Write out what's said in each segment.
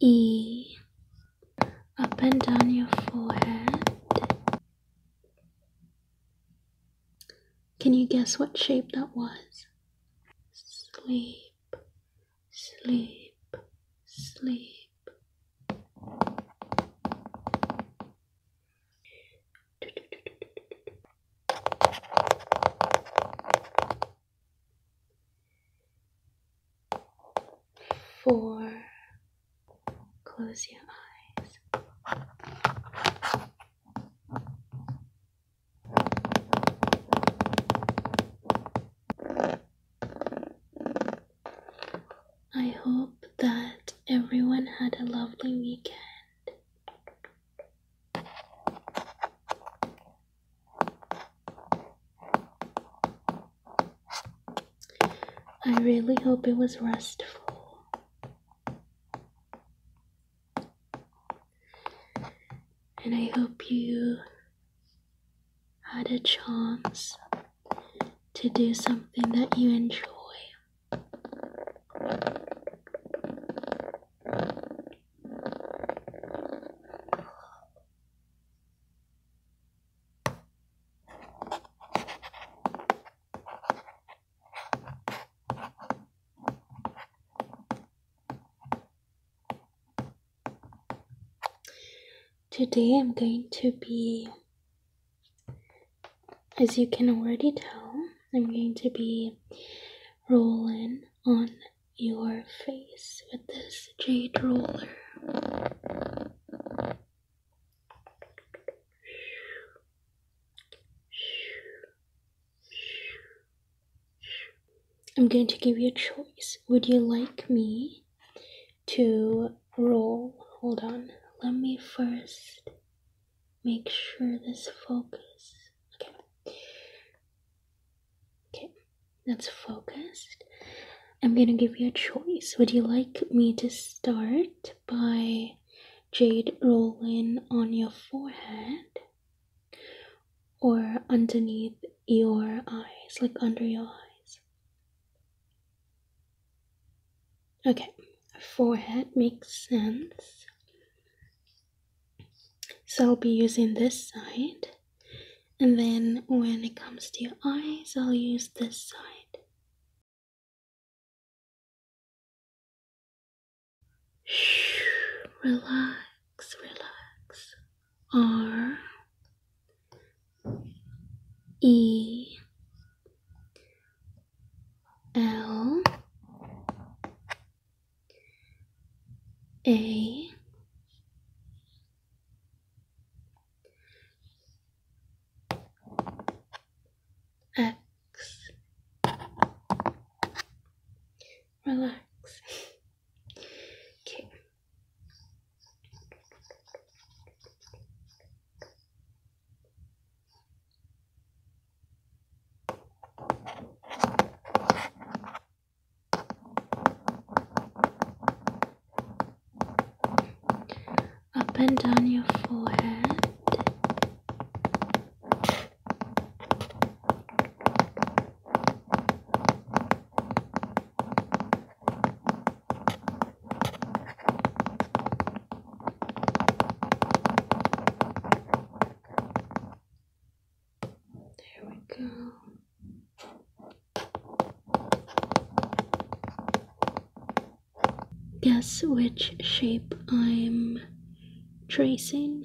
E up and down your forehead. Can you guess what shape that was? Sleep, sleep, sleep. Four. Close your eyes. I hope that everyone had a lovely weekend. I really hope it was restful. And I hope you had a chance to do something that you enjoy. Today I'm going to be as you can already tell, I'm going to be rolling on your face with this jade roller. I'm going to give you a choice. Would you like me to roll? Hold on. Let me first make sure this focus. Okay. Okay, that's focused. I'm gonna give you a choice. Would you like me to start by jade rolling on your forehead or underneath your eyes, like under your eyes? Okay, forehead makes sense. So I'll be using this side. And then when it comes to your eyes, I'll use this side. Relax, relax. R E L A X Relax. okay. Up and down your forehead. There we go. Guess which shape I'm tracing.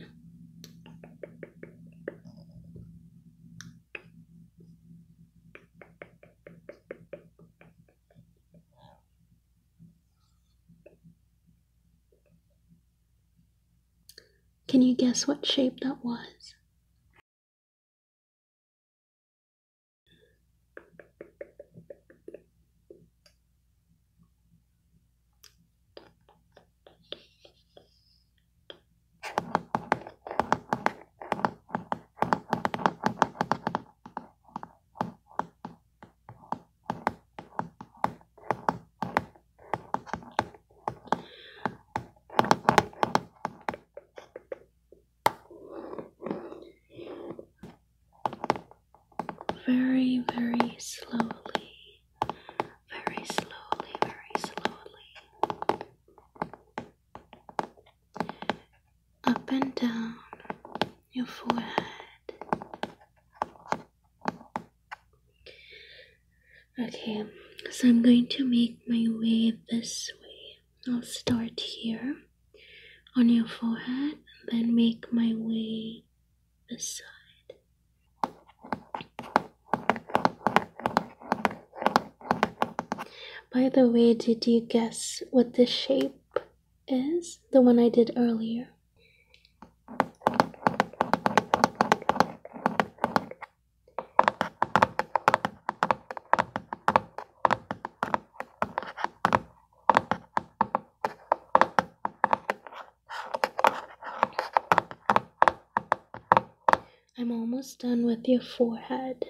Can you guess what shape that was? Very, very slowly, very slowly, very slowly up and down your forehead. Okay, so I'm going to make my way this way. I'll start here on your forehead then make my way aside. By the way, did you guess what the shape is the one I did earlier. I'm almost done with your forehead.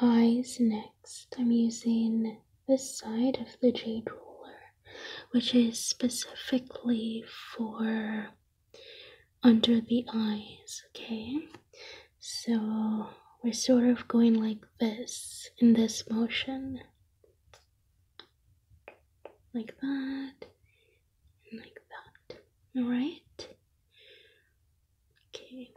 Eyes next. I'm using this side of the jade roller, which is specifically for under the eyes, okay? So we're sort of going like this in this motion, like that, like that. All right. Okay.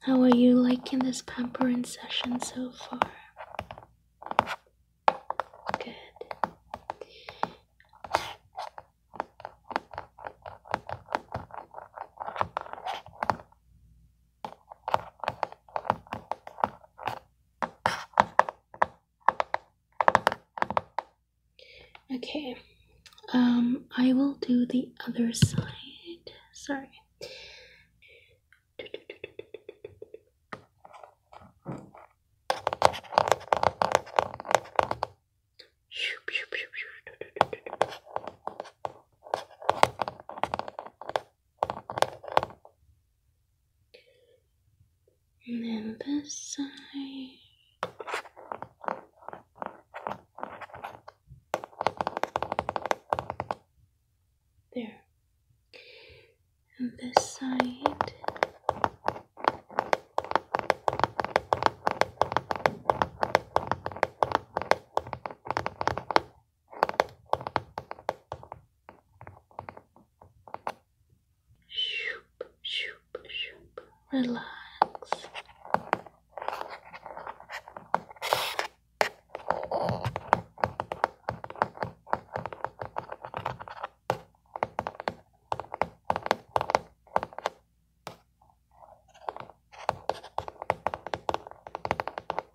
How are you liking this pampering session so far? Good. Okay, um, I will do the other side. Sorry. And then this side. There. And this side. Shoop, shoop, shoop. Relax.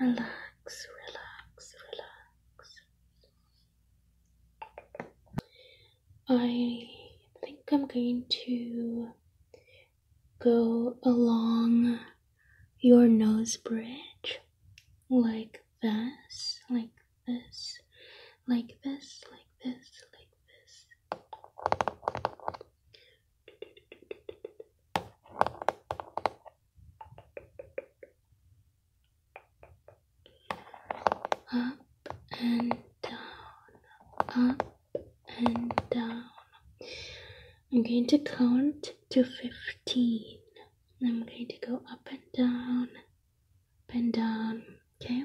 Relax, relax, relax. I think I'm going to go along your nose bridge like this, like this, like this, like this, like this, up and down, up and down. I'm going to count to 15. I'm going to go up and down, up and down, okay?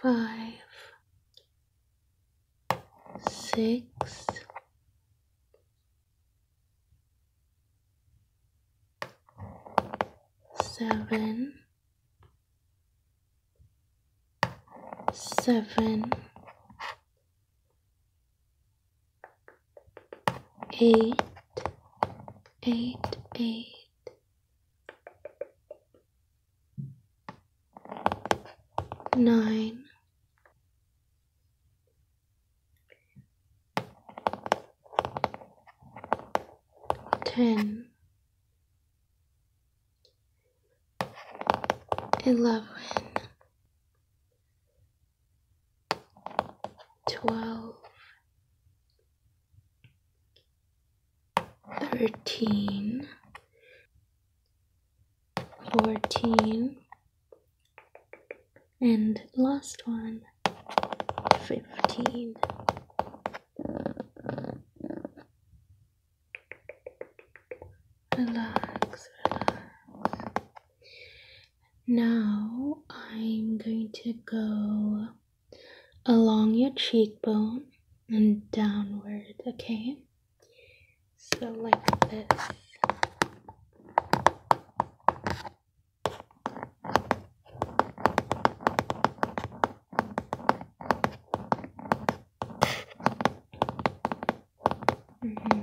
five, six, seven, seven, eight, eight, eight ten, eleven, twelve thirteen, fourteen, and last one, fifteen. Relax, relax. Now I'm going to go along your cheekbone and downward, okay? So, like this. Mm-hmm.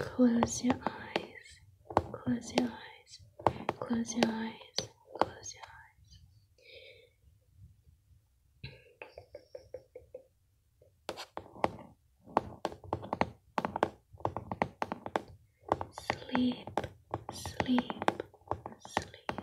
Close your eyes. Close your eyes. Close your eyes. Close your eyes. Sleep, sleep, sleep.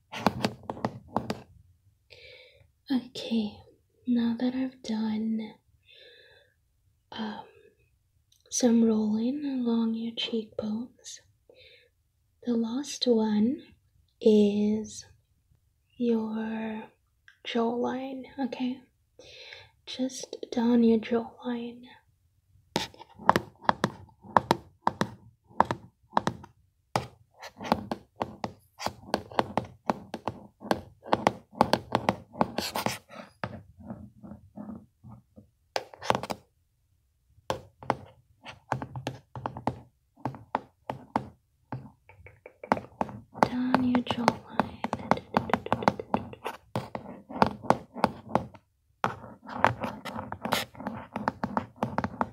Okay, now that I've done um, some rolling along your cheekbones, the last one is your jawline, okay? Just down your jawline. Down your jawline.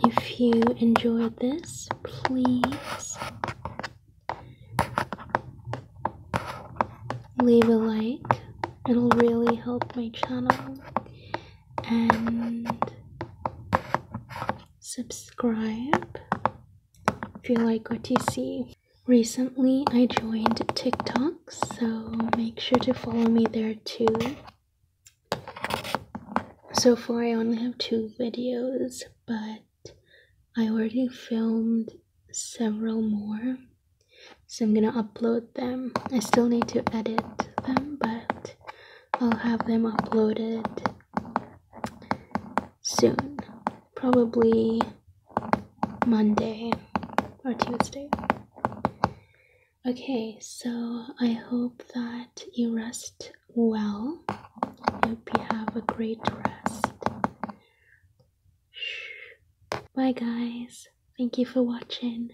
If you enjoyed this, please leave a like. It'll really help my channel. And subscribe if you like what you see. Recently, I joined TikTok, so make sure to follow me there too so far I only have two videos, but I already filmed several more. So I'm gonna upload them. I still need to edit them, but I'll have them uploaded soon. Probably Monday or Tuesday. Okay, so I hope that you rest rest well. Hope you have a great rest. Bye, guys. Thank you for watching.